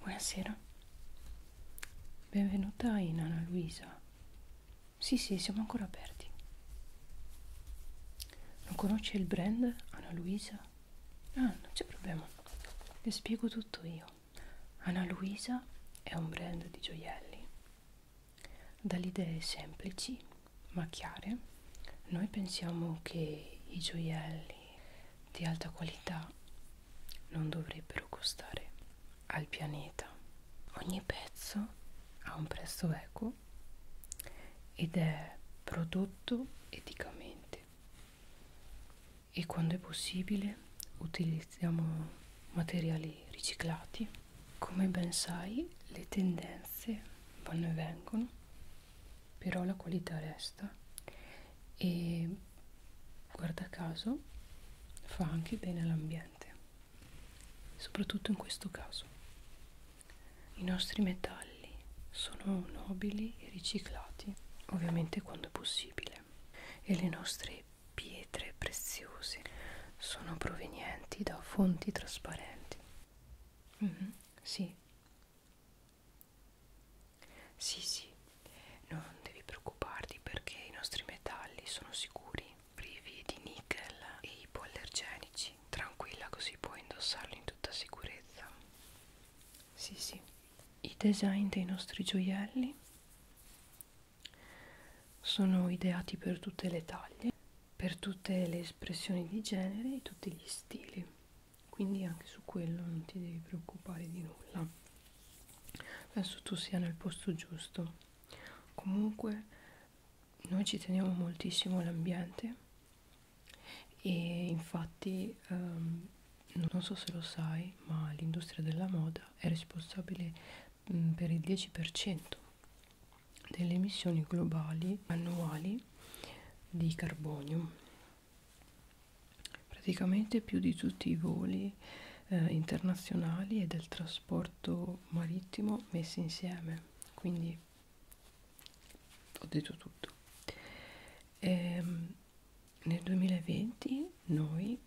Buonasera, benvenuta in Anna Luisa. Sì, sì, siamo ancora aperti. Non conosce il brand Anna Luisa? Ah, non c'è problema, le spiego tutto io. Anna Luisa è un brand di gioielli. Dalle idee semplici ma chiare, noi pensiamo che i gioielli di alta qualità non dovrebbero costare al pianeta. Ogni pezzo ha un prezzo equo ed è prodotto eticamente e quando è possibile utilizziamo materiali riciclati. Come ben sai le tendenze vanno e vengono, però la qualità resta e guarda caso fa anche bene all'ambiente, soprattutto in questo caso. I nostri metalli sono nobili e riciclati, ovviamente quando è possibile, e le nostre pietre preziose sono provenienti da fonti trasparenti. Mm -hmm, sì, sì, sì, non devi preoccuparti perché i nostri metalli sono sicuri, privi di nickel e ipoallergenici. Tranquilla, così puoi indossarli in tutta sicurezza. Sì, sì. I design dei nostri gioielli sono ideati per tutte le taglie, per tutte le espressioni di genere e tutti gli stili quindi anche su quello non ti devi preoccupare di nulla adesso tu sia nel posto giusto comunque noi ci teniamo moltissimo all'ambiente e infatti um, non so se lo sai ma l'industria della moda è responsabile mh, mhmm, per il 10% delle emissioni globali annuali di carbonio praticamente più di tutti i voli eh, internazionali e del trasporto marittimo messi insieme quindi ho detto tutto e, ehm, nel 2020 noi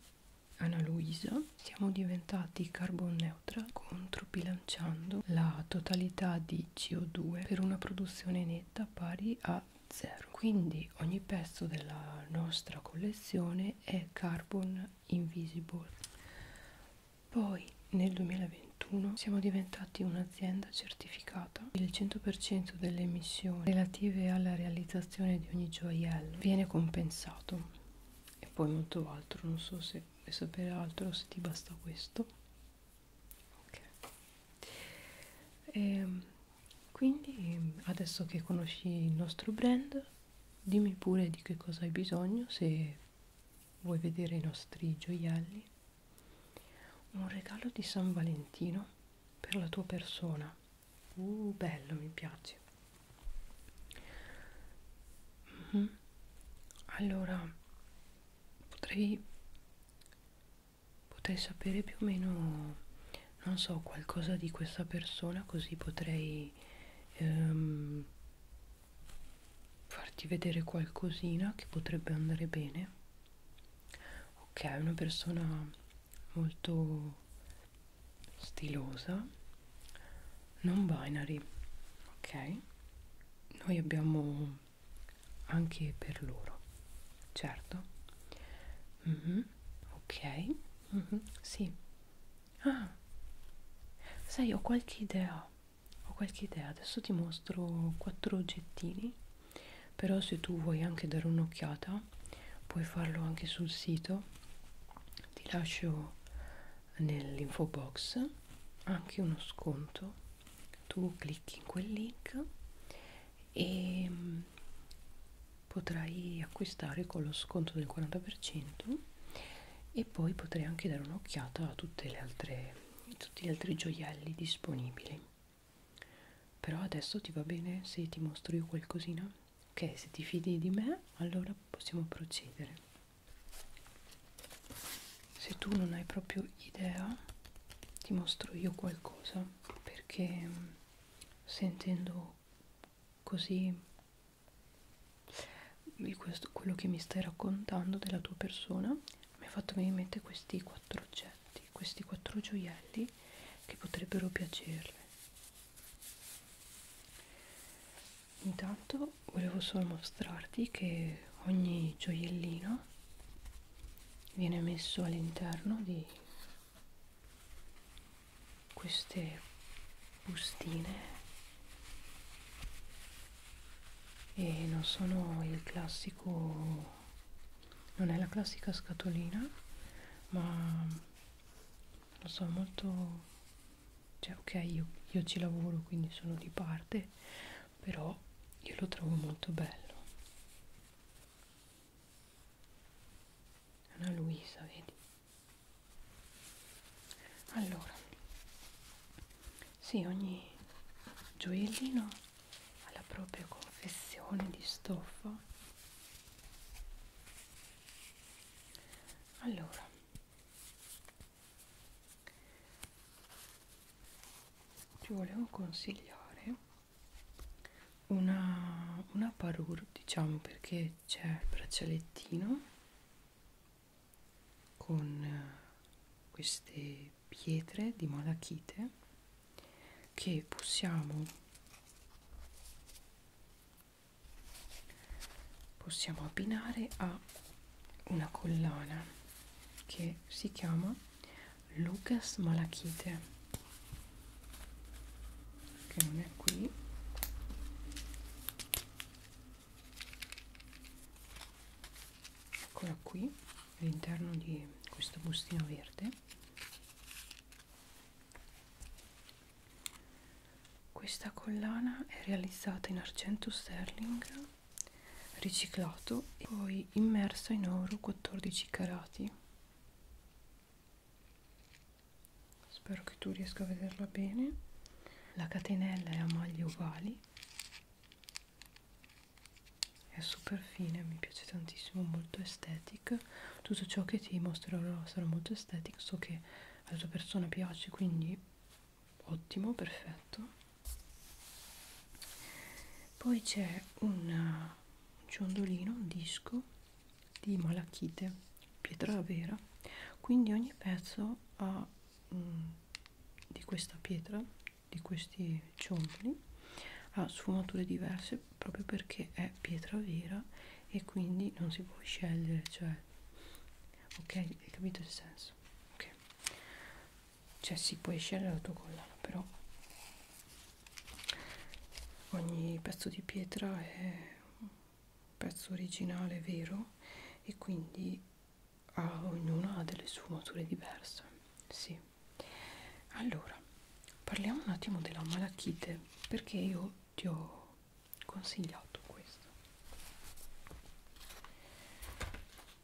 Anna Luisa siamo diventati carbon neutral controbilanciando la totalità di CO2 per una produzione netta pari a zero quindi ogni pezzo della nostra collezione è carbon invisible poi nel 2021 siamo diventati un'azienda certificata il 100% delle emissioni relative alla realizzazione di ogni gioiello viene compensato e poi molto altro non so se vuoi sapere altro se ti basta questo ok e, ehm, quindi adesso che conosci il nostro brand, dimmi pure di che cosa hai bisogno se vuoi vedere i nostri gioielli. Un regalo di San Valentino per la tua persona. Uh, bello, mi piace. Uh mhm. -huh. Allora, potrei potrei sapere più o meno, non so, qualcosa di questa persona così potrei ehm, farti vedere qualcosina che potrebbe andare bene. Ok, è una persona molto stilosa, non binary, ok? Noi abbiamo anche per loro, certo. Mm -hmm ok mm -hmm. sì ah sai ho qualche idea ho qualche idea adesso ti mostro quattro oggettini però se tu vuoi anche dare un'occhiata puoi farlo anche sul sito ti lascio nell'info box anche uno sconto tu clicchi in quel link e mm, potrai acquistare con lo sconto del 40% e poi potrei anche dare un'occhiata a tutte le altre, tutti gli altri gioielli disponibili però adesso ti va bene se ti mostro io qualcosina? ok se ti fidi di me allora possiamo procedere se tu non hai proprio idea ti mostro io qualcosa perché sentendo così questo, quello che mi stai raccontando della tua persona mi ha fatto venire in mente questi quattro oggetti, questi quattro gioielli che potrebbero piacerle. Intanto volevo solo mostrarti che ogni gioiellino viene messo all'interno di queste bustine e non sono il classico non è la classica scatolina ma non so molto cioè ok io, io ci lavoro quindi sono di parte però io lo trovo molto bello è una Luisa vedi allora sì ogni gioiellino ha la propria confezione di stoffa allora ti volevo consigliare una, una parure diciamo perché c'è il braccialettino con eh, queste pietre di malachite che possiamo possiamo abbinare a una collana che si chiama Lucas Malachite che non è qui eccola qui all'interno di questo bustino verde questa collana è realizzata in argento sterling riciclato e poi immersa in oro 14 carati spero che tu riesca a vederla bene la catenella è a maglie uguali è super fine mi piace tantissimo molto estetica tutto ciò che ti mostrerò sarà molto estetico so che alla tua persona piace quindi ottimo perfetto poi c'è un eh, ciondolino un disco di malachite, pietra vera, quindi ogni pezzo ha mh, mm, di questa pietra, di questi ciondoli, ha sfumature diverse proprio perché è pietra vera e quindi non si può scegliere, cioè, ok, hai capito il senso? Ok, cioè si può scegliere la tua collana, però ogni pezzo di pietra è un pezzo originale vero e quindi ha, ognuno ha delle sfumature diverse sì allora parliamo un attimo della malachite perché io ti ho consigliato questo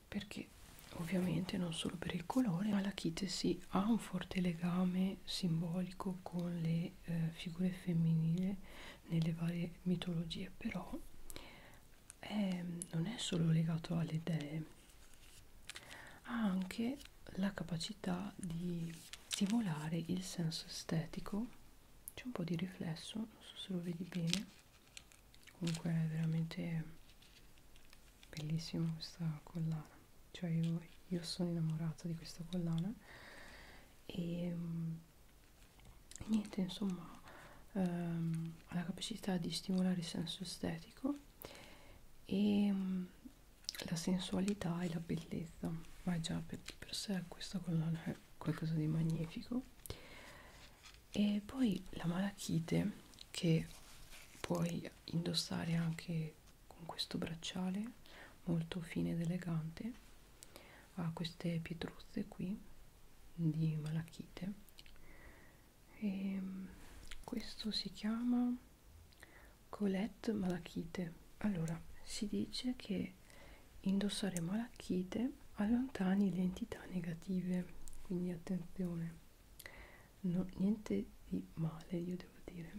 perché ovviamente non solo per il colore ma la kite si quindi ha un forte legame simbolico con le eh, figure femminili nelle varie mitologie, però è, ehm, non è solo legato alle dee, ha anche la capacità di stimolare il senso estetico, c'è un po' di riflesso, non so se lo vedi bene, comunque è veramente bellissimo questa collana cioè io, io sono innamorata di questa collana e um, niente insomma um, ehm, ha la capacità di stimolare il senso estetico e um, la sensualità e la bellezza ma già per, per sé questa collana è qualcosa di magnifico e poi la malachite che puoi indossare anche anche con questo bracciale molto fine ed elegante ha queste pietruzze qui di malachite e mm, questo si chiama Colette malachite allora si dice che indossare malachite allontani le entità negative quindi attenzione no, niente di male io devo dire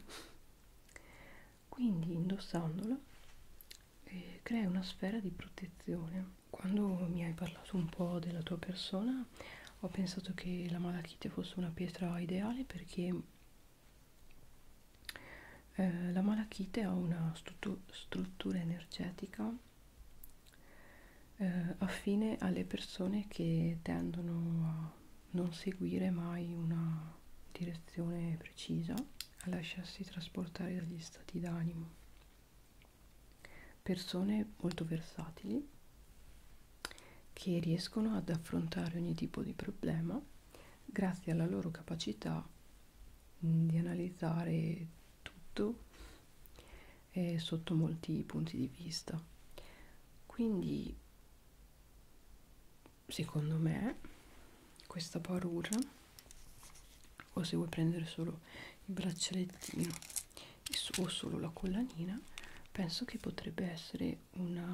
quindi indossandola eh, crea una sfera di protezione quando mi hai parlato un po' della tua persona ho pensato che la malachite fosse una pietra ideale perché eh, la malachite ha una stru struttura energetica eh, affine alle persone che tendono a non seguire mai una direzione precisa a lasciarsi trasportare dagli stati d'animo. Persone molto versatili che riescono ad affrontare ogni tipo di problema grazie alla loro capacità di analizzare tutto eh, sotto molti punti di vista. Quindi secondo me questa parura o se vuoi prendere solo il braccialettino o solo la collanina penso che potrebbe essere una,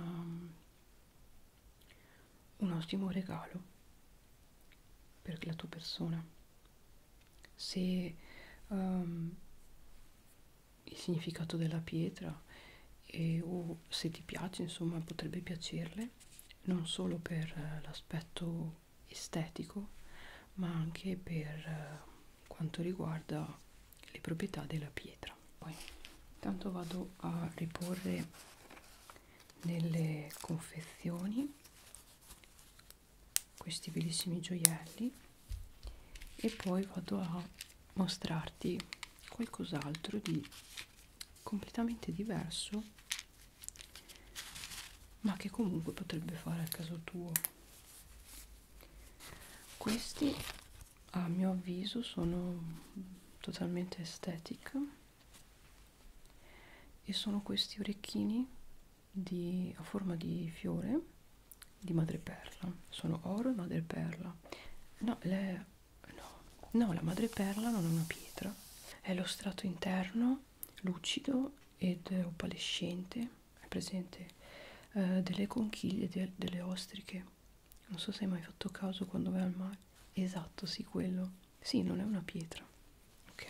un ottimo regalo per la tua persona se um, il significato della pietra e, o se ti piace insomma potrebbe piacerle non solo per eh, l'aspetto estetico ma anche per eh, quanto riguarda le proprietà della pietra poi intanto vado a riporre nelle confezioni questi bellissimi gioielli e poi vado a mostrarti qualcos'altro di completamente diverso ma che comunque potrebbe fare al caso tuo questi a mio avviso sono totalmente estetic e sono questi orecchini di, a forma di fiore di madreperla sono oro e madreperla no le no, no, la madreperla non è una pietra, è lo strato interno lucido ed opalescente, è presente eh, delle conchiglie, de delle ostriche, non so se hai mai fatto caso quando vai al mare, esatto, sì, quello, sì, non è una pietra, ok,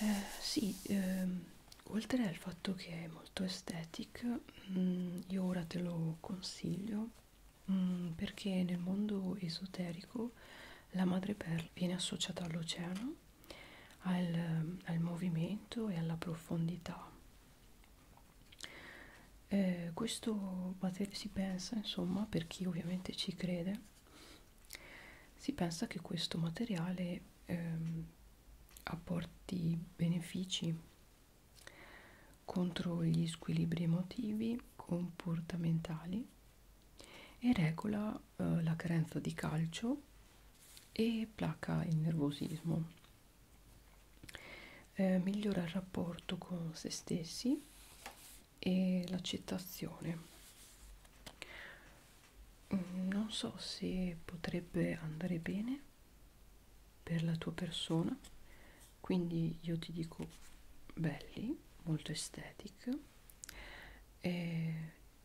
eh, sì, ehm, oltre al fatto che è molto estetic, mh, mm, io ora te lo consiglio mm, perché nel mondo esoterico la madreperla viene associata all'oceano, al, al movimento e alla profondità. Eh, questo si pensa, insomma, per chi ovviamente ci crede, si pensa che questo materiale ehm, apporti benefici contro gli squilibri emotivi, comportamentali e regola eh, la carenza di calcio e placa il nervosismo. Eh, migliora il rapporto con se stessi e l'accettazione. Mm, non so se potrebbe andare bene per la tua persona quindi io ti dico belli molto estetic e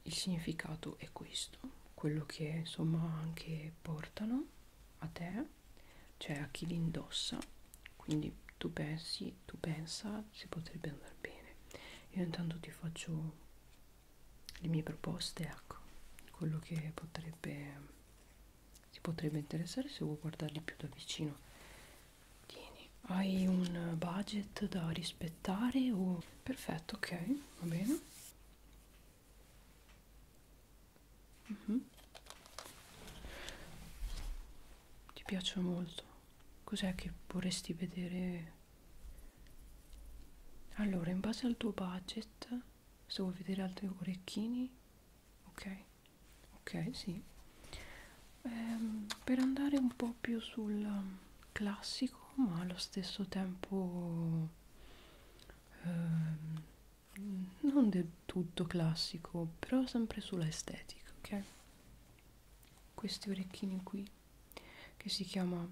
il significato è questo quello che insomma anche portano a te cioè a chi li indossa quindi tu pensi tu pensa si potrebbe andare bene io intanto ti faccio le mie proposte ecco quello che potrebbe ti potrebbe interessare se vuoi guardarli più da vicino tieni hai un budget da rispettare o perfetto ok va bene uh mhm. -huh. ti piace molto cos'è che vorresti vedere allora in base al tuo budget se vuoi vedere altri orecchini ok ok sì ehm, per andare un po più sul classico ma allo stesso tempo ehm, non del tutto classico però sempre sulla estetica ok questi orecchini qui che si chiama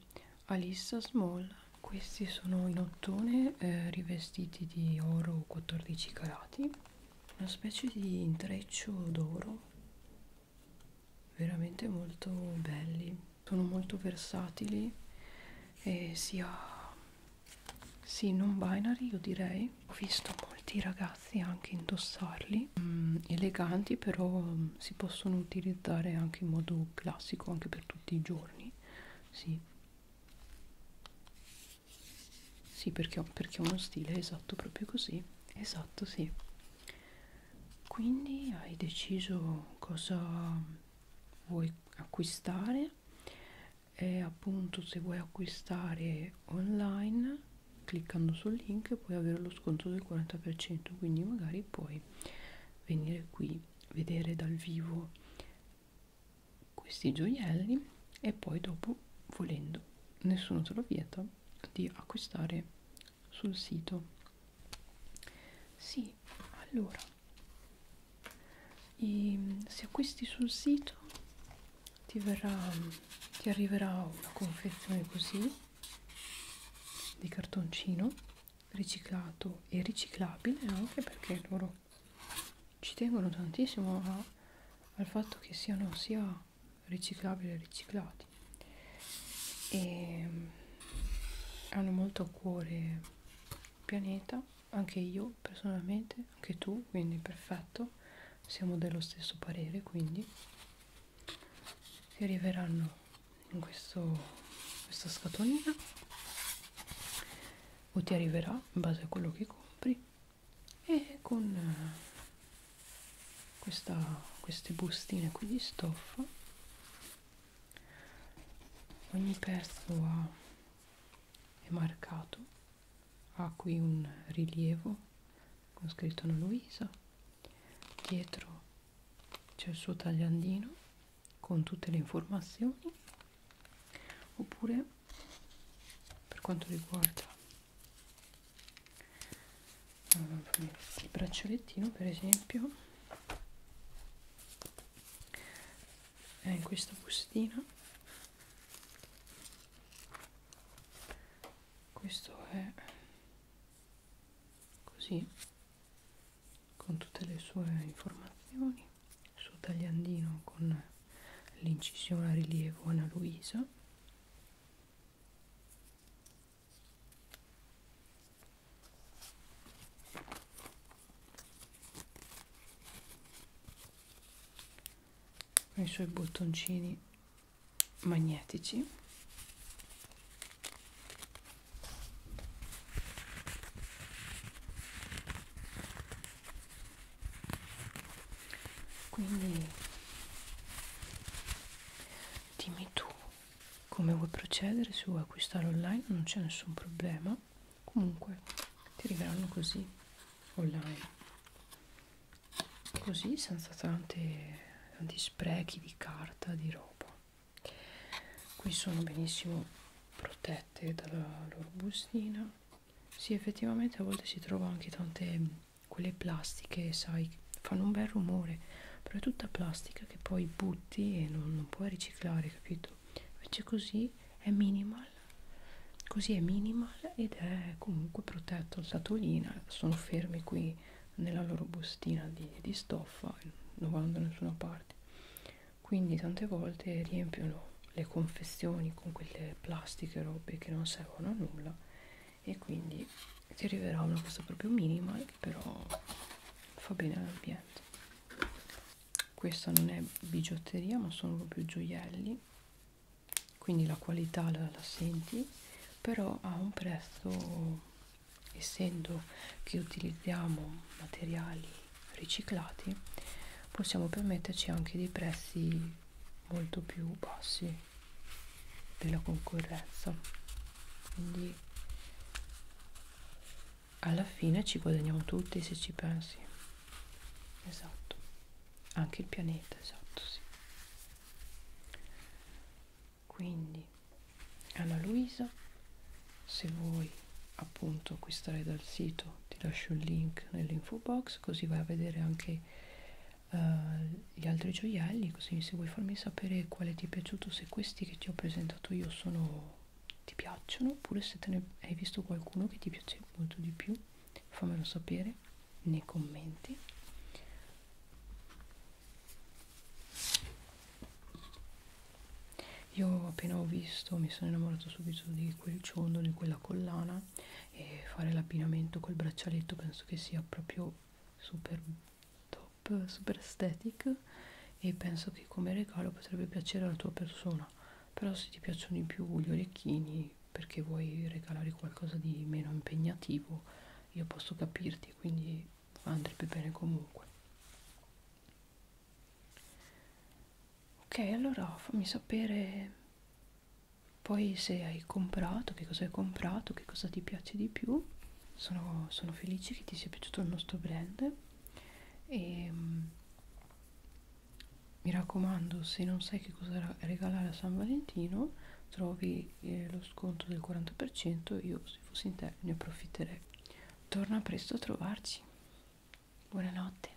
Alissa Small questi sono in mattone eh, rivestiti di oro 14 carati una specie di intreccio d'oro veramente molto belli sono molto versatili e sia sì non binary io direi ho visto molti ragazzi anche indossarli mm, eleganti però mm, si possono utilizzare anche in modo classico anche per tutti i giorni sì sì, perché ho, perché ho uno stile esatto, proprio così. Esatto, sì. Quindi hai deciso cosa vuoi acquistare e appunto se vuoi acquistare online cliccando sul link puoi avere lo sconto del 40% quindi magari puoi venire qui vedere dal vivo questi gioielli e poi dopo volendo nessuno te lo vieta di acquistare sul sito sì allora i, se acquisti sul sito ti verrà ti arriverà una confezione così di cartoncino riciclato e riciclabile anche perché loro loro ci tengono tantissimo a, al fatto che siano sia riciclabili e riciclati e hanno molto a cuore il pianeta anche io personalmente anche tu quindi perfetto siamo dello stesso parere quindi si arriveranno in questo questa scatolina o ti arriverà in base a quello che compri e con eh, questa, queste bustine qui di stoffa ogni pezzo ha, è marcato ha qui un rilievo con scritto Ana Luisa dietro c'è il suo tagliandino con tutte le informazioni oppure per quanto riguarda il braccialettino per esempio è eh, in questa bustina questo è così con tutte le sue informazioni il suo tagliandino con l'incisione a rilievo Ana Luisa con i suoi bottoncini magnetici quindi dimmi tu come vuoi procedere, se vuoi acquistare online non c'è nessun problema, comunque ti arriveranno così online così senza tante, tanti sprechi di carta di roba qui sono benissimo protette dalla loro bustina sì, effettivamente a volte si trova anche tante quelle plastiche, sai, fanno un bel rumore, però è tutta plastica che poi butti e non, non puoi riciclare, capito? Invece così è minimal, così è minimal ed è comunque protetto la satolina, eh, sono fermi qui nella loro bustina di, di stoffa, non vanno da nessuna parte. Quindi tante volte riempiono le confezioni con quelle plastiche robe che non servono a nulla e quindi ti arriverà una cosa proprio minima che però fa bene all'ambiente questa non è bigiotteria ma sono proprio gioielli quindi la qualità la, la senti però ha un prezzo essendo che utilizziamo materiali riciclati possiamo permetterci anche dei prezzi molto più bassi della concorrenza quindi alla fine ci guadagniamo tutti se ci pensi esatto anche il pianeta esatto sì quindi Anna Luisa se vuoi appunto acquistare dal sito ti lascio il link nell'info box così vai a vedere anche uh, gli altri gioielli così se vuoi farmi sapere quale ti è piaciuto se questi che ti ho presentato io sono ti piacciono oppure se te ne hai visto qualcuno che ti piace molto di più fammelo sapere nei commenti io appena ho visto mi sono innamorato subito di quel ciondolo di quella collana e fare l'abbinamento col braccialetto penso che sia proprio super top, super aesthetic e penso che come regalo potrebbe piacere alla tua persona però se ti piacciono di più gli orecchini perché vuoi regalare qualcosa di meno impegnativo io posso capirti quindi andrebbe bene comunque ok allora fammi sapere poi se hai comprato che cosa hai comprato che cosa ti piace di più sono, sono felice che ti sia piaciuto il nostro brand e um, mi raccomando se non sai che cosa regalare a San Valentino trovi eh, lo sconto del 40% io se fossi in te ne approfitterei torna presto a trovarci buonanotte